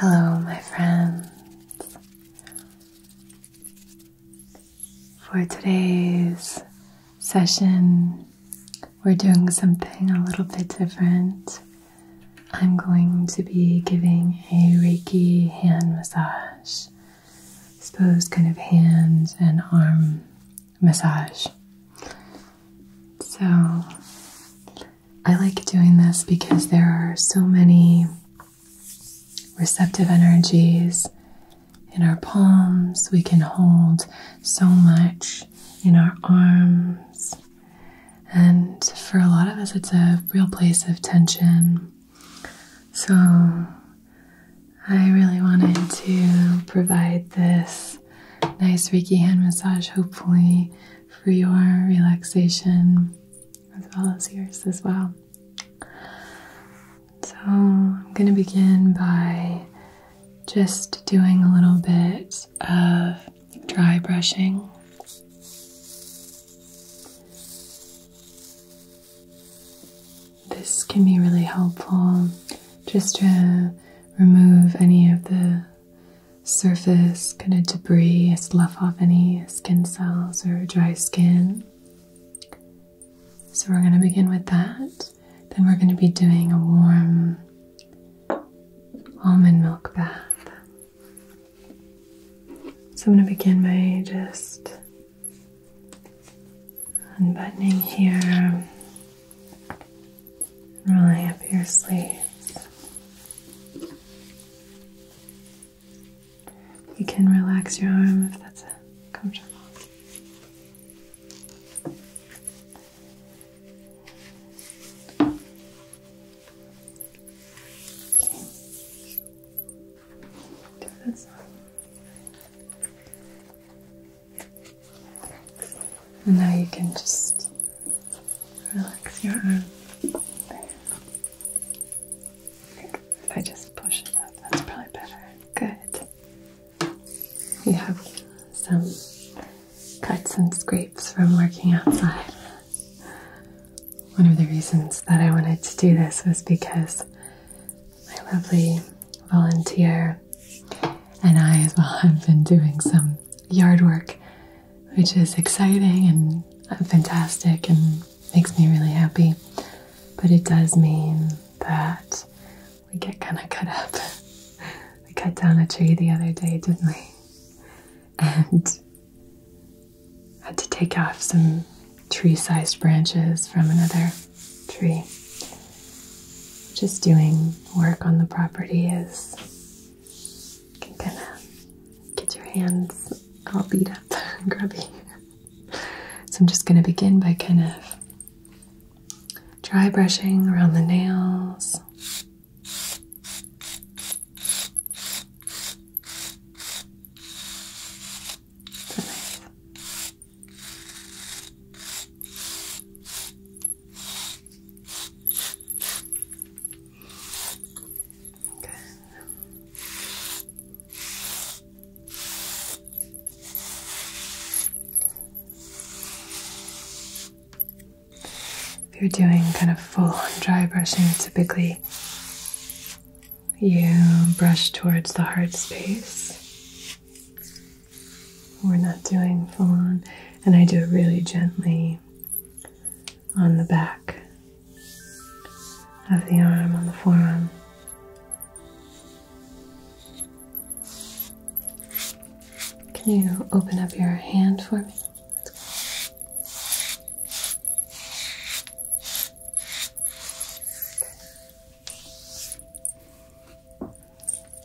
Hello, my friends. For today's session, we're doing something a little bit different. I'm going to be giving a Reiki hand massage. It's both kind of hands and arm massage. So I like doing this because there are so many receptive energies in our palms. We can hold so much in our arms. And for a lot of us, it's a real place of tension. So I really wanted to provide this nice Reiki hand massage, hopefully, for your relaxation as well as yours as well. So, I'm going to begin by just doing a little bit of dry brushing. This can be really helpful just to remove any of the surface kind of debris, slough off any skin cells or dry skin. So we're going to begin with that. Then we're going to be doing a warm almond milk bath. So I'm going to begin by just unbuttoning here, rolling up your sleeves. You can relax your arm if that's comfortable. Do this. And now you can just relax your arm. If I just push it up, that's probably better. Good. You have some cuts and scrapes from working outside. One of the reasons that I wanted to do this was because my lovely volunteer and I as well have uh, been doing some yard work, which is exciting and uh, fantastic and makes me really happy. But it does mean that we get kind of cut up. we cut down a tree the other day, didn't we? And had to take off some tree sized branches from another tree. Just doing work on the property is can kind of get your hands all beat up and grubby. So I'm just going to begin by kind of dry brushing around the nails. If you're doing kind of full on dry brushing, typically you brush towards the heart space we're not doing full on, and I do it really gently on the back of the arm, on the forearm. Can you open up your hand for me?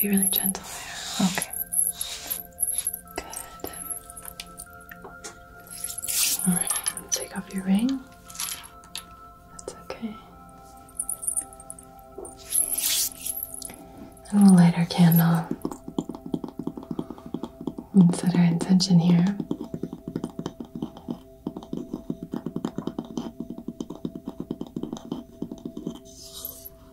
Be really gentle there. Okay. Good. Alright, take off your ring. That's okay. And we'll light our candle and set our intention here.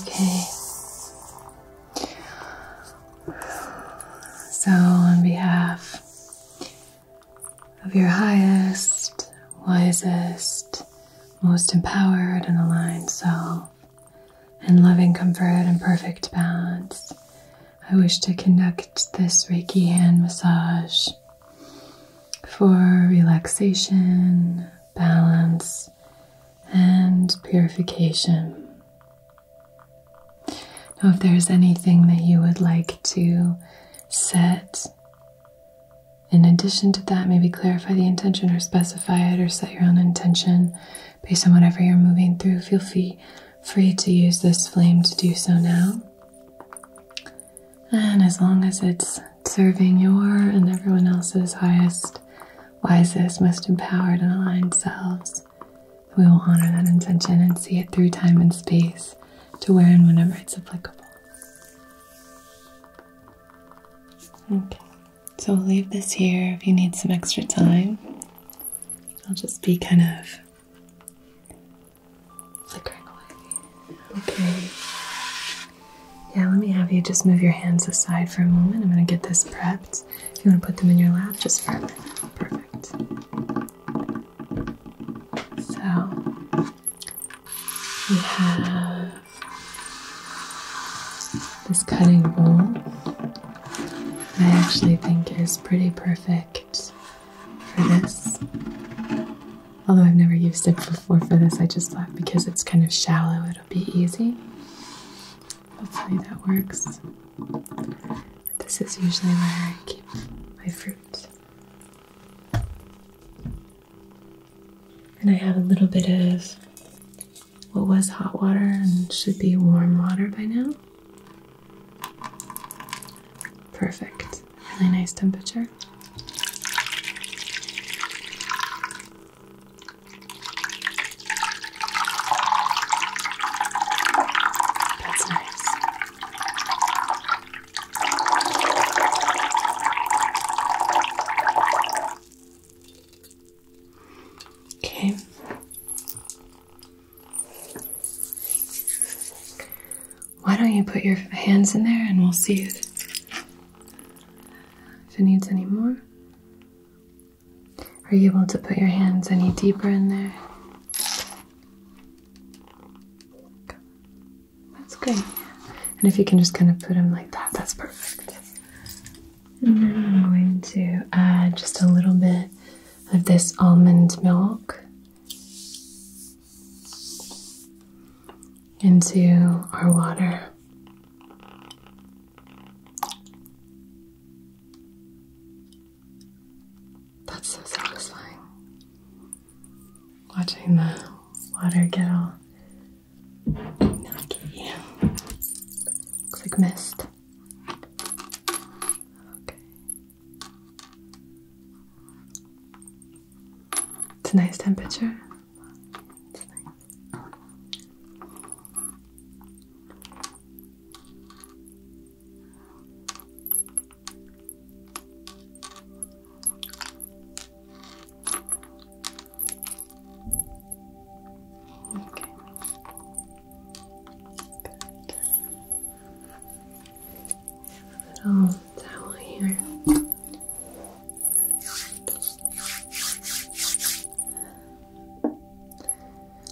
Okay. So, on behalf of your highest, wisest, most empowered and aligned self, and loving comfort and perfect balance, I wish to conduct this Reiki hand massage for relaxation, balance, and purification. Now, if there's anything that you would like to set, in addition to that, maybe clarify the intention or specify it or set your own intention based on whatever you're moving through. Feel free, free to use this flame to do so now. And as long as it's serving your and everyone else's highest, wisest, most empowered, and aligned selves, we will honor that intention and see it through time and space to where and whenever it's applicable. Okay, so we'll leave this here if you need some extra time. I'll just be kind of flickering away. Okay. Yeah, let me have you just move your hands aside for a moment. I'm going to get this prepped. If you want to put them in your lap just for a minute. Perfect. So, we have this cutting bowl. I actually think is pretty perfect for this. Although I've never used it before for this, I just thought because it's kind of shallow, it'll be easy. Hopefully that works. this is usually where I keep my fruit. And I have a little bit of what was hot water and should be warm water by now. Perfect. Really nice temperature. That's nice. Okay. Why don't you put your hands in there and we'll see if, it needs any more? Are you able to put your hands any deeper in there? That's great. And if you can just kind of put them like that, that's perfect. And then I'm going to add just a little bit of this almond milk into our water. That's so satisfying. Watching the water get all milky. Looks like mist. Okay. It's a nice temperature. Okay little towel here.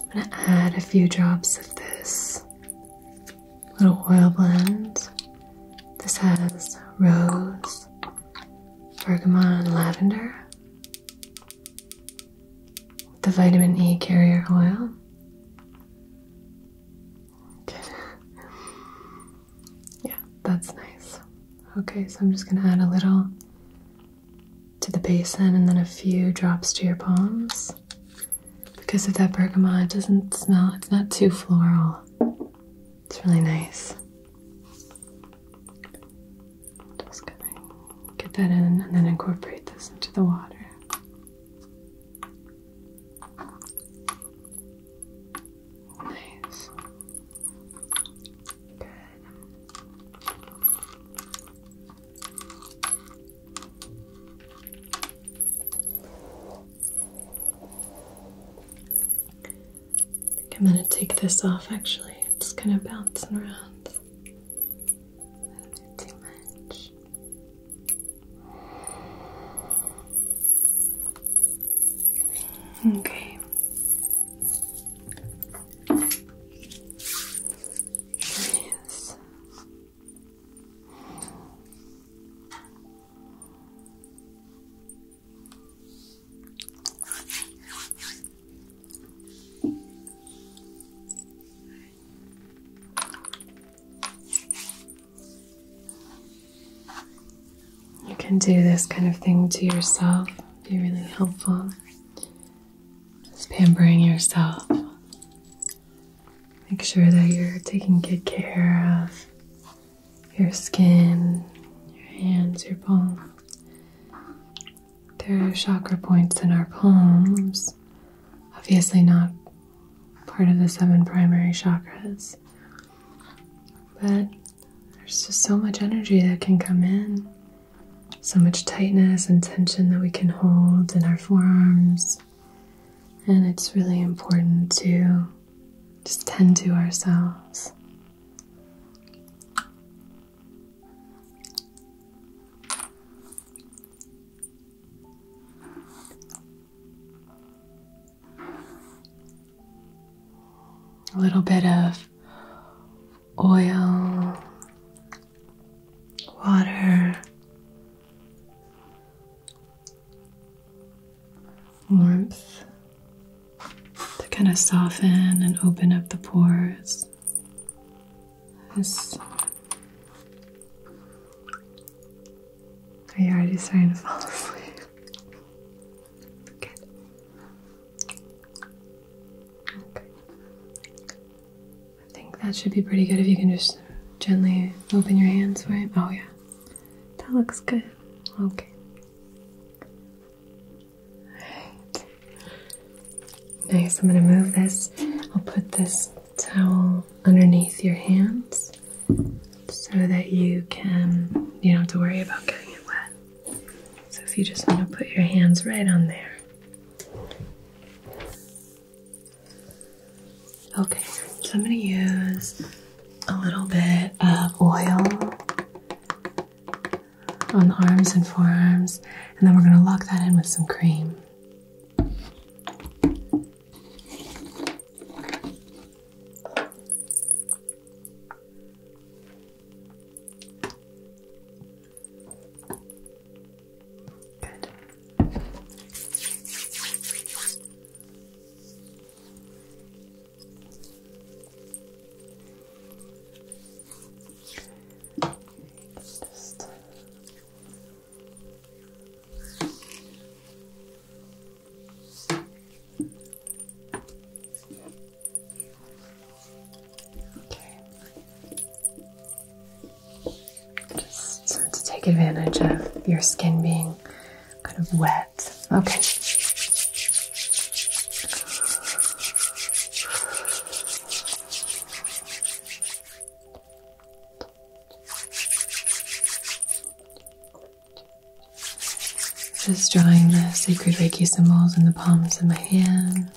I'm going to add a few drops of this little oil blend. This has rose, bergamot, and lavender. The vitamin E carrier oil. yeah, that's nice. Okay, so I'm just going to add a little to the basin and then a few drops to your palms. Because of that bergamot, it doesn't smell, it's not too floral. It's really nice. Just gonna get that in and then incorporate this into the water. Nice. Good. I am going to take this off actually. It's kind of bouncing around. A too much. Okay. Here is. You can do this kind of thing to yourself, be really helpful. Just pampering yourself. Make sure that you're taking good care of your skin, your hands, your palms. There are chakra points in our palms, obviously not part of the seven primary chakras. But there's just so much energy that can come in, so much tightness and tension that we can hold in our forearms. And it's really important to just tend to ourselves. A little bit of oil, water, warmth to kind of soften and open up the pores are you already starting to fall asleep? Good. Okay. I think that should be pretty good if you can just gently open your hands for it. Oh yeah. That looks good. Okay. Alright. Nice. I'm gonna move this. I'll put this towel underneath your hands so that you can, you don't have to worry about getting it wet. So if you just want to put your hands right on there. Okay, so I'm going to use a little bit of oil on the arms and forearms, and then we're going to lock that in with some cream. Good. Just just to take advantage of your skin being kind of wet. Okay. Just drawing the sacred Reiki symbols in the palms of my hands.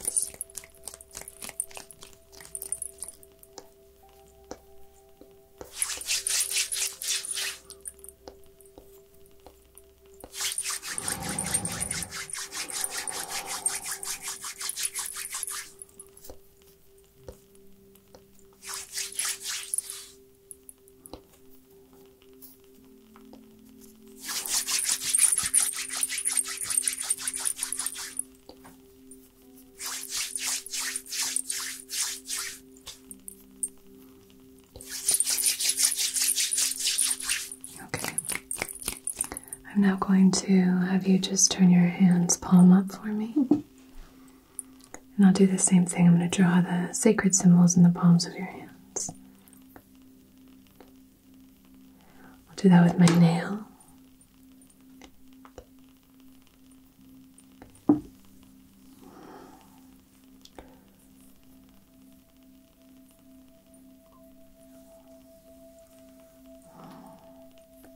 Okay. I'm now going to have you just turn your hands palm up for me. And I'll do the same thing. I'm going to draw the sacred symbols in the palms of your hands. I'll do that with my nail.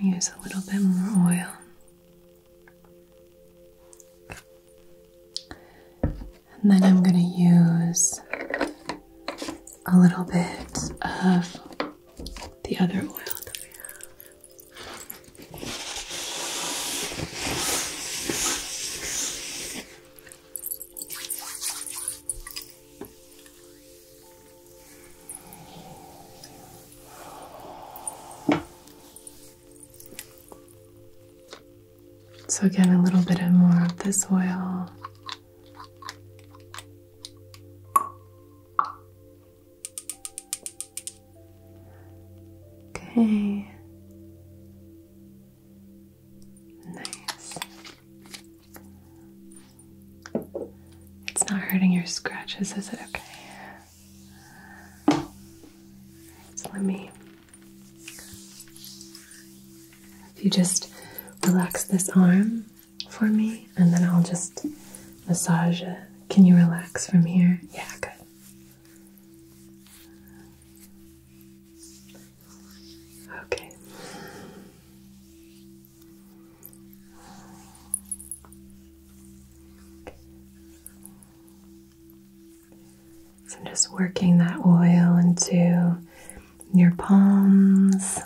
Use a little bit more oil. And then I'm going to use a little bit of the other oil so, again, a little bit of more of this oil. Okay. Nice. It's not hurting your scratches, is it? Okay. So let me. If you just relax this arm for me, and then I'll just massage it. Can you relax from here? Yeah, good. Okay. So I'm just working that oil into your palms.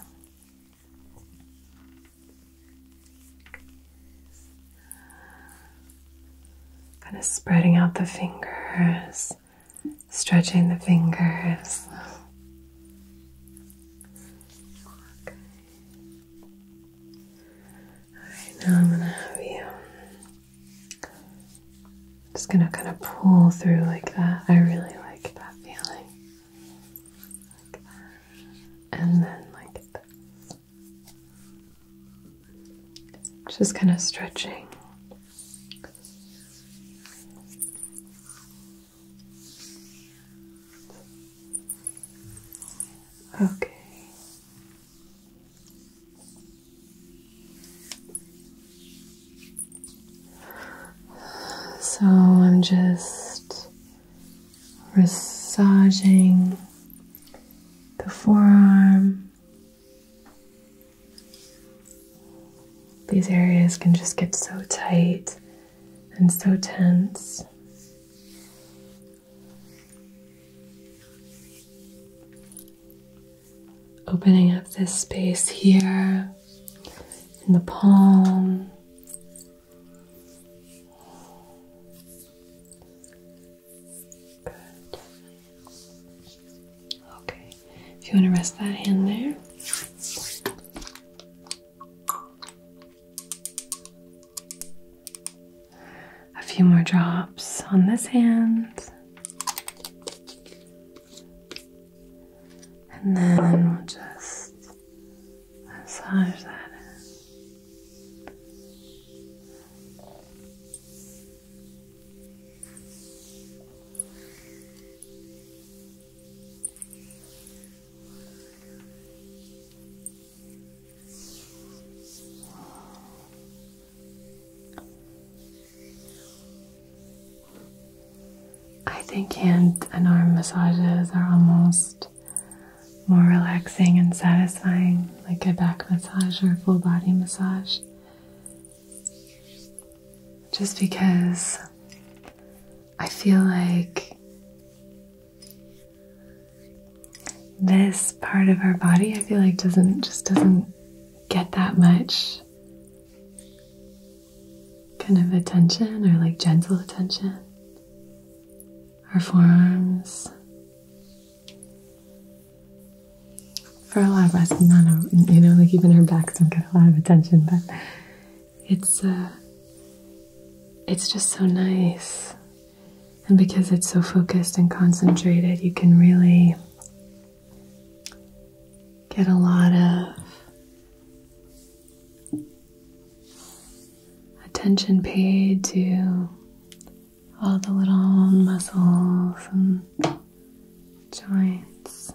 Kind of spreading out the fingers, stretching the fingers. Alright, now I'm gonna have you. just gonna kind of pull through like that. I really like that feeling. Like that. And then like this. Just kind of stretching. Okay. So I'm just massaging the forearm these areas can just get so tight and so tense. Opening up this space here in the palm. Good. Okay. If you want to rest that hand there. A few more drops on this hand. And then we'll just massage that I think hand and arm massages are almost more relaxing and satisfying, like a back massage or a full body massage. Just because I feel like this part of our body, I feel like doesn't just doesn't get that much kind of attention or like gentle attention. Her forearms. For a lot of us, not a, you know, like even her backs don't get a lot of attention, but it's uh, it's just so nice. And because it's so focused and concentrated, you can really get a lot of attention paid to all the little muscles and joints.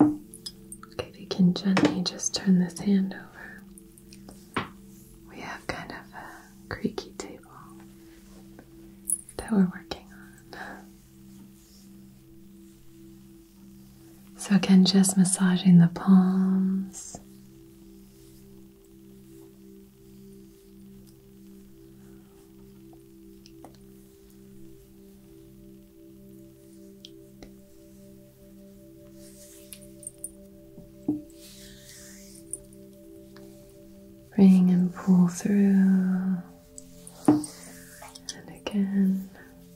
Okay, if you can gently just turn this hand over. We have kind of a creaky table that we're working on. So, again, just massaging the palms Bring and pull through, and again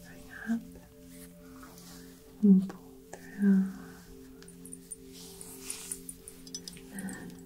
bring up and pull through,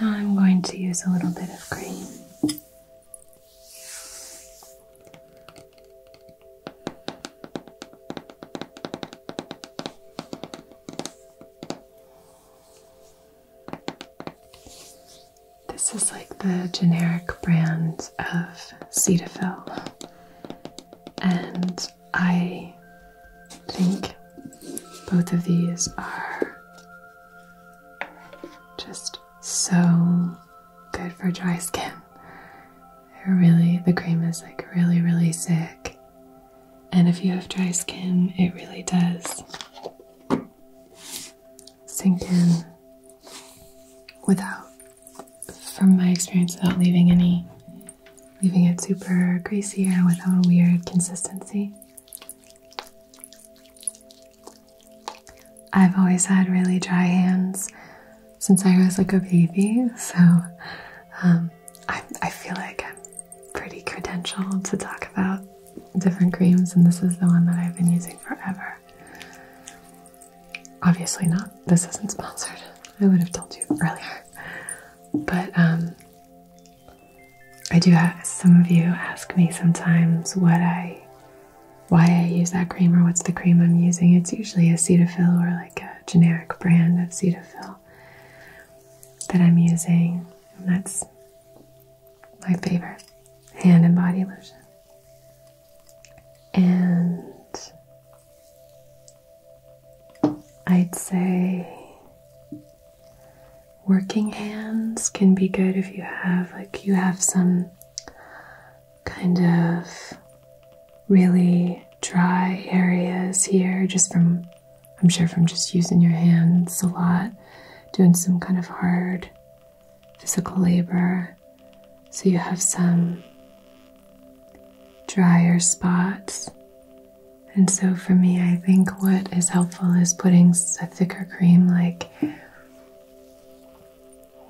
Now I'm going to use a little bit of cream. This is like the generic brand of Cetaphil, and I I think both of these are just so good for dry skin. really, the cream is like really, really sick. And if you have dry skin, it really does sink in without, from my experience, without leaving any, leaving it super greasy or without a weird consistency. I've always had really dry hands since I was like a baby, so um, I, feel like I'm pretty credentialed to talk about different creams, and this is the one that I've been using forever. Obviously, not. This isn't sponsored. I would have told you earlier. But um, I do have some of you ask me sometimes what I why I use that cream or what's the cream I'm using. It's usually a Cetaphil or like a generic brand of Cetaphil that I'm using. And that's my favorite hand and body lotion. And I'd say working hands can be good if you have like you have some kind of really dry areas here just from I'm sure from just using your hands a lot doing some kind of hard physical labor so you have some drier spots and so for me, I think what is helpful is putting a thicker cream like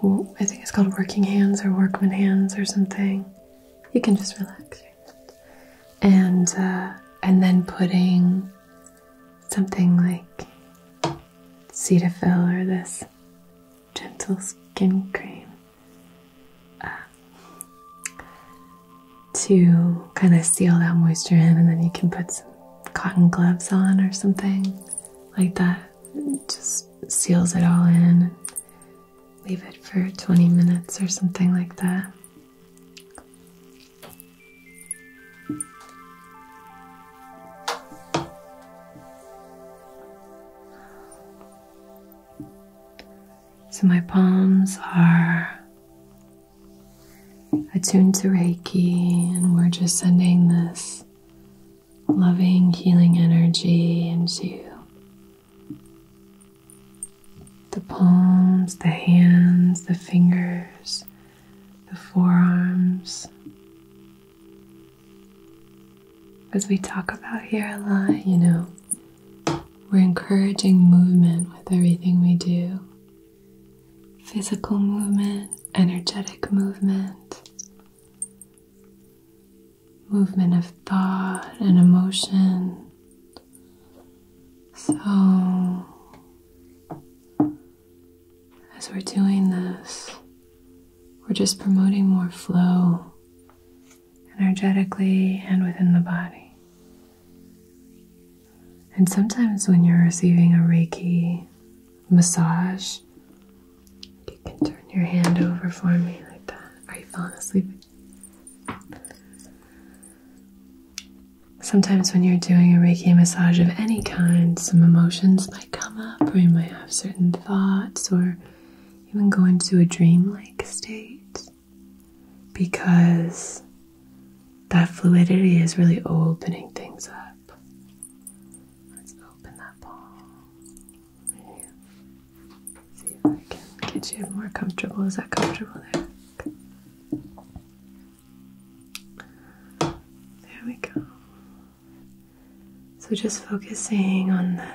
I think it's called working hands or workman hands or something. You can just relax. And uh, and then putting something like Cetaphil or this gentle skin cream uh, to kind of seal that moisture in, and then you can put some cotton gloves on or something like that. just seals it all in. leave it for 20 minutes or something like that. So, my palms are attuned to Reiki, and we're just sending this loving, healing energy into the palms, the hands, the fingers, the forearms. As we talk about here a lot, you know, we're encouraging movement with everything we do physical movement, energetic movement, movement of thought and emotion. So, as we're doing this, we're just promoting more flow energetically and within the body. And sometimes when you're receiving a Reiki massage, you can turn your hand over for me like that. Are you falling asleep? Sometimes when you're doing a Reiki massage of any kind, some emotions might come up, or you might have certain thoughts, or even go into a dream-like state because that fluidity is really opening things up. Let's open that palm. See if I can get you more comfortable. Is that comfortable there? There we go. So just focusing on the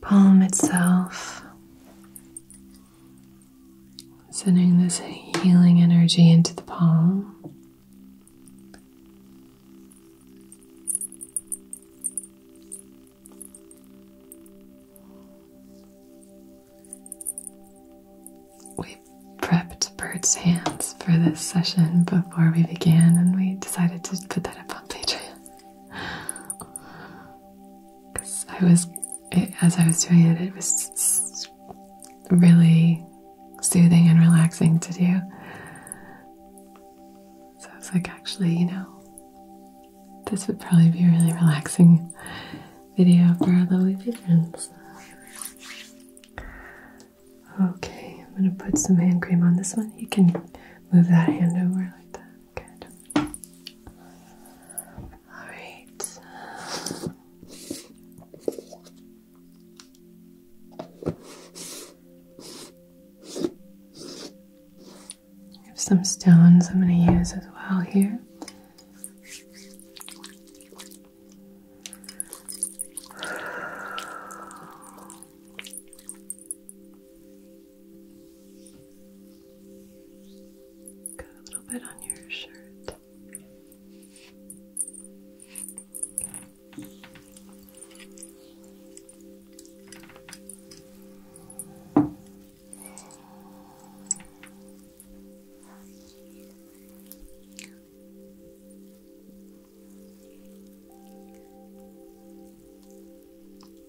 palm itself. Sending this healing energy into the palm. We prepped Bert's hands for this session before we began, and we decided to put that up on Patreon because I was, as I was doing it, it was really soothing and relaxing to do. So I was like, actually, you know, this would probably be a really relaxing video for our lovely patrons. Okay, I'm gonna put some hand cream on this one. You can move that hand over like that. Good. All right. I have some stones I'm going to use as well here. Got a little bit on your shirt.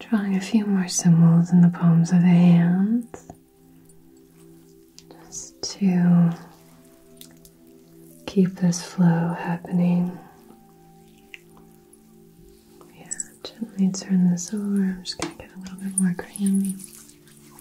Drawing a few more symbols in the palms of the hands just to keep this flow happening. Yeah, gently turn this over. I'm just going to get a little bit more crayon.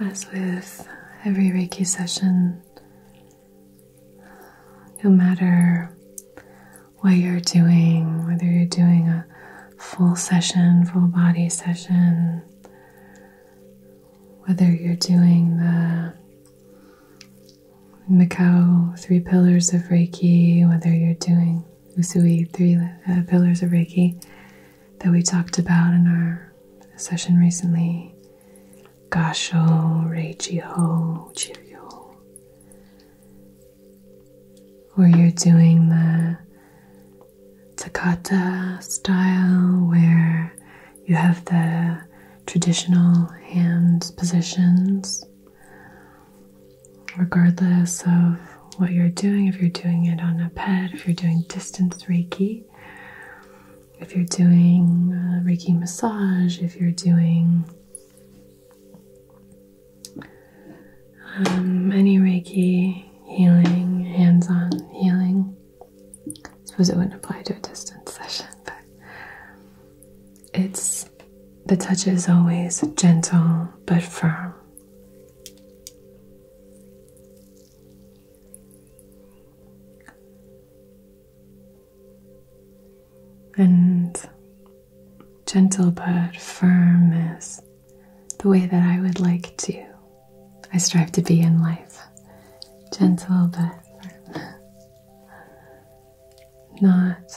As with every Reiki session, no matter what you're doing, whether you're doing a full session, full body session, whether you're doing the Macau three pillars of Reiki, whether you're doing Usui three uh, pillars of Reiki that we talked about in our session recently. Gasho, Reichi Ho, Chiryo or you're doing the Takata style where you have the traditional hand positions, regardless of what you're doing, if you're doing it on a pet, if you're doing distance Reiki, if you're doing Reiki massage, if you're doing um, any Reiki healing, hands on healing. I suppose it wouldn't apply to a distance session, but it's the touch is always gentle but firm and gentle but firm is the way that I would like to. I strive to be in life. Gentle but Not,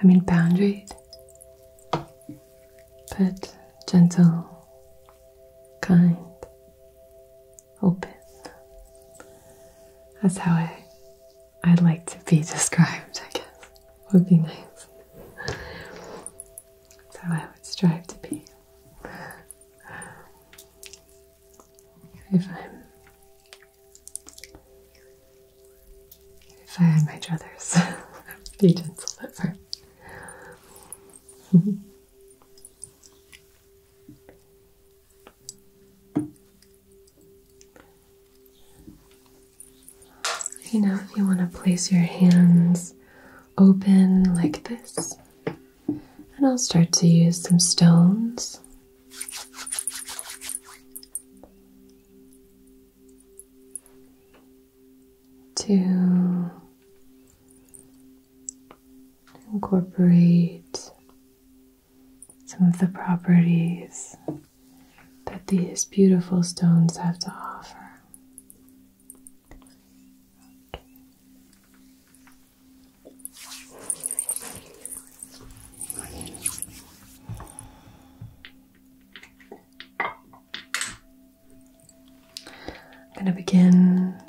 I mean, boundaried, but gentle, kind, open. That's how I I'd like to be described, I guess, would be nice. So I would strive to be. If I'm if I had my druthers, I would be gentle at You know, if you want to place your hands open like this, and I'll start to use some stones. To incorporate some of the properties that these beautiful stones have to offer. I'm going to begin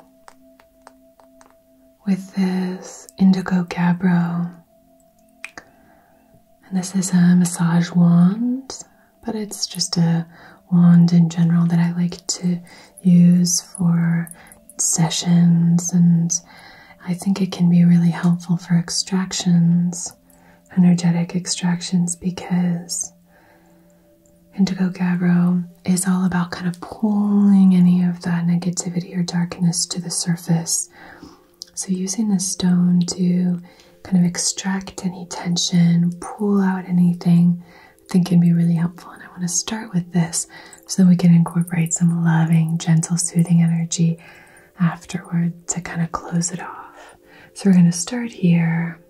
with this indigo gabbro. And this is a massage wand, but it's just a wand in general that I like to use for sessions, and I think it can be really helpful for extractions, energetic extractions, because Indigo Gabbro is all about kind of pulling any of that negativity or darkness to the surface so, using the stone to kind of extract any tension, pull out anything, I think can be really helpful. And I want to start with this so we can incorporate some loving, gentle, soothing energy afterward to kind of close it off. So, we're going to start here.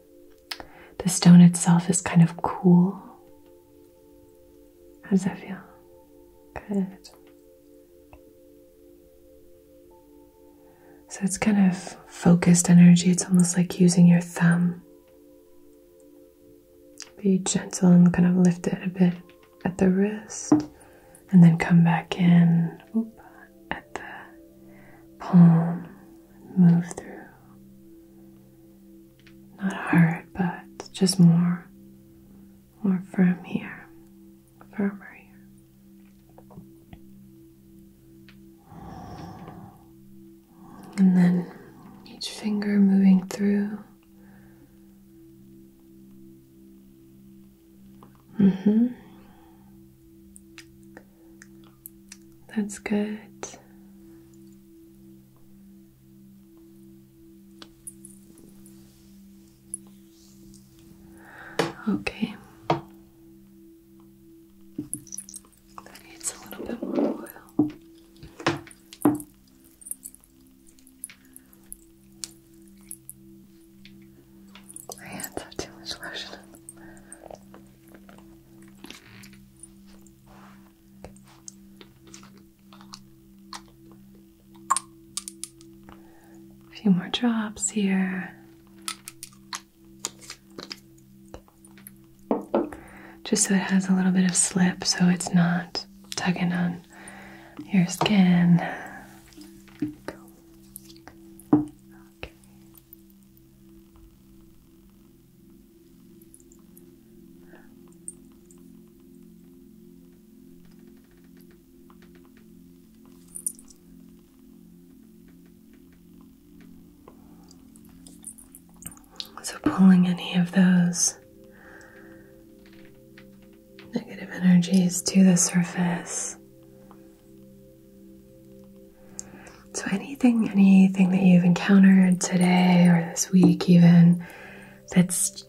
The stone itself is kind of cool. How does that feel? Good. So it's kind of focused energy. It's almost like using your thumb. Be gentle and kind of lift it a bit at the wrist and then come back in at the palm. Move through. Not hard, but just more more firm here, firmer here. And then each finger moving through. Mm-hmm. That's good. Okay. That needs a little bit more oil. My hands have too much lotion. A few more drops here. Just so it has a little bit of slip so it's not tugging on your skin. So, pulling any of those negative energies to the surface. So, anything, anything that you've encountered today or this week, even that's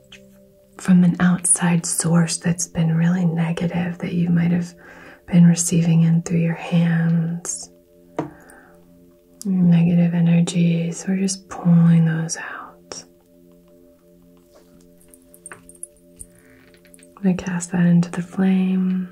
from an outside source that's been really negative that you might have been receiving in through your hands, negative energies. We're just pulling those out. I'm going to cast that into the flame.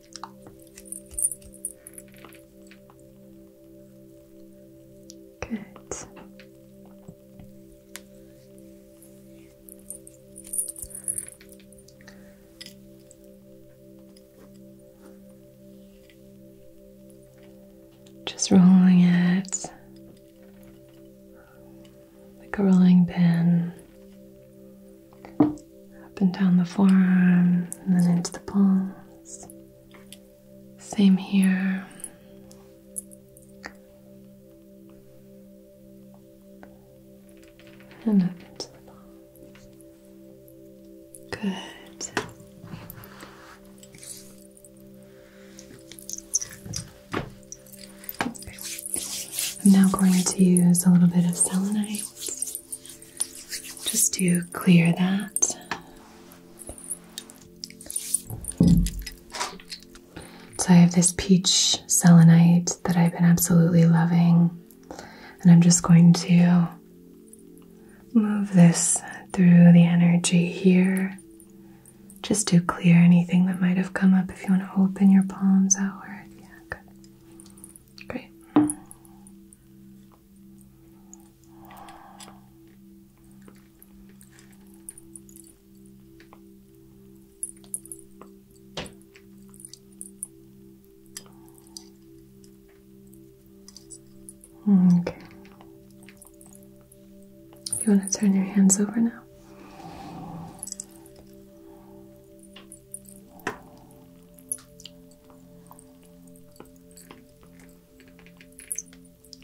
Good. Just rolling it like a rolling pin up and down the forearm and then into the palms. Same here. And up into the palms. Good. I'm now going to use a little bit of selenite just to clear that. So I have this peach selenite that I've been absolutely loving, and I'm just going to move this through the energy here just to clear anything that might have come up if you want to open your palms outward. Yeah, good. Great. Okay. You want to turn your hands over now?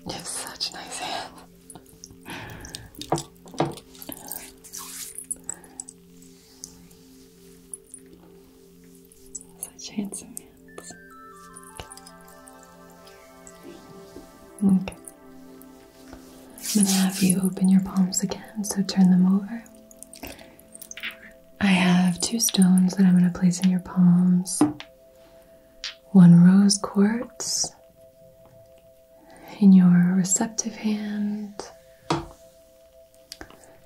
You have such nice hands. Such handsome hands. Okay. I'm gonna have you open your palms again, so turn them over. I have two stones that I'm gonna place in your palms one rose quartz in your receptive hand,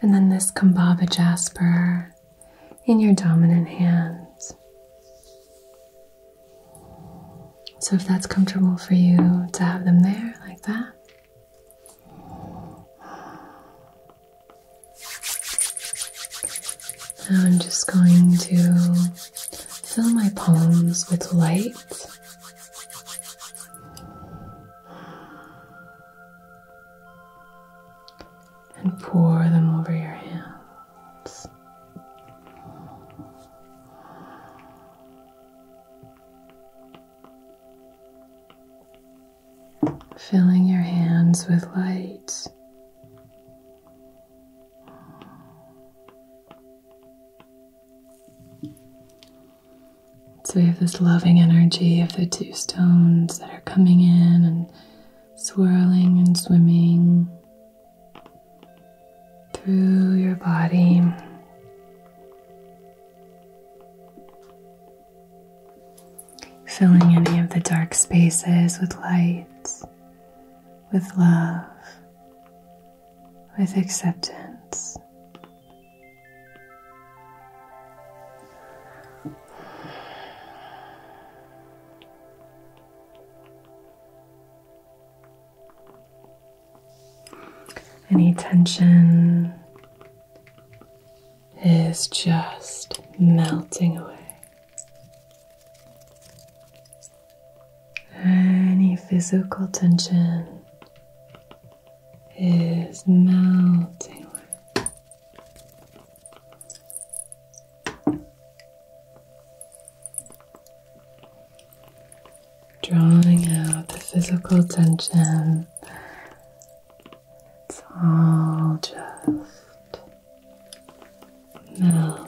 and then this Kambava jasper in your dominant hand. So, if that's comfortable for you to have them there like that, now I'm just going to fill my palms with light. And pour them over your hands filling your hands with light. So we have this loving energy of the two stones that are coming in and swirling and swimming through your body filling any of the dark spaces with light, with love, with acceptance. Any tension is just melting away. Any physical tension is melting away. Drawing out the physical tension. It's all just melting.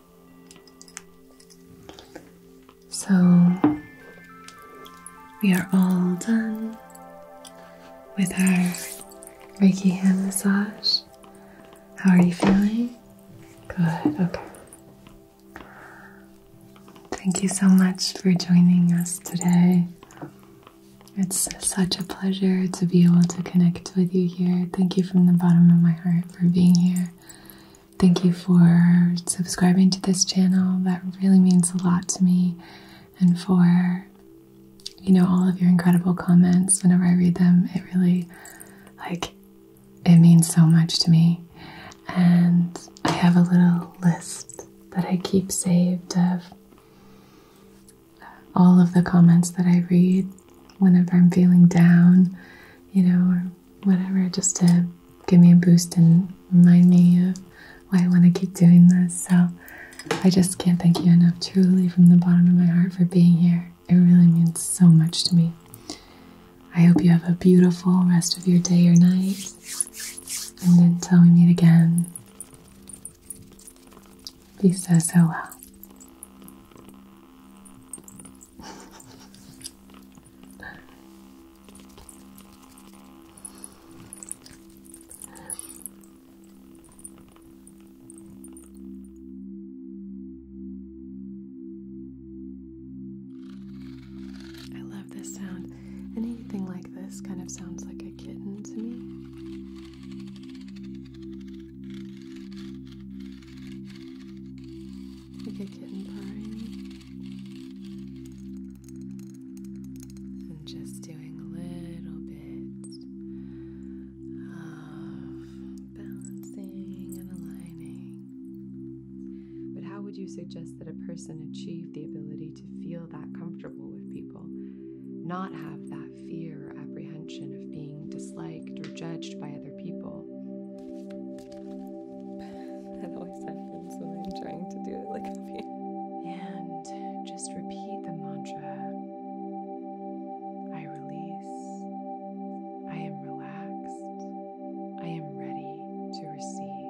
So we are all done with our Reiki hand massage. How are you feeling? Good, okay. Thank you so much for joining us today. It's such a pleasure to be able to connect with you here. Thank you from the bottom of my heart for being here. Thank you for subscribing to this channel. That really means a lot to me and for you know all of your incredible comments whenever I read them. It really like it means so much to me. And I have a little list that I keep saved of all of the comments that I read whenever I'm feeling down, you know, or whatever, just to give me a boost and remind me of why I want to keep doing this. So I just can't thank you enough, truly, from the bottom of my heart for being here. It really means so much to me. I hope you have a beautiful rest of your day or night. And until we meet again, be so, so well. I love this sound. Anything like this kind of sounds like a kitten to me like a kitten purring. And just doing little bits of balancing and aligning. But how would you suggest that a person achieve the ability to feel that comfortable with people? Not have that fear or apprehension of being disliked or judged by other people? people. That always happens when I'm trying to do it like a And just repeat the mantra I release, I am relaxed, I am ready to receive.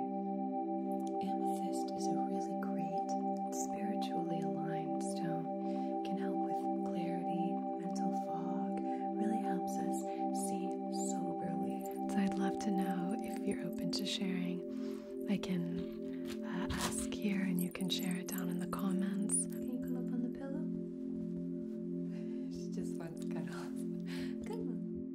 Amethyst is a really great, spiritually aligned stone, can help with clarity, mental soberly. So I'd love to know if you're open to sharing. I can uh, ask here and you can share it down in the comments. Can you come up on the pillow? she just wants cuddles. Good one.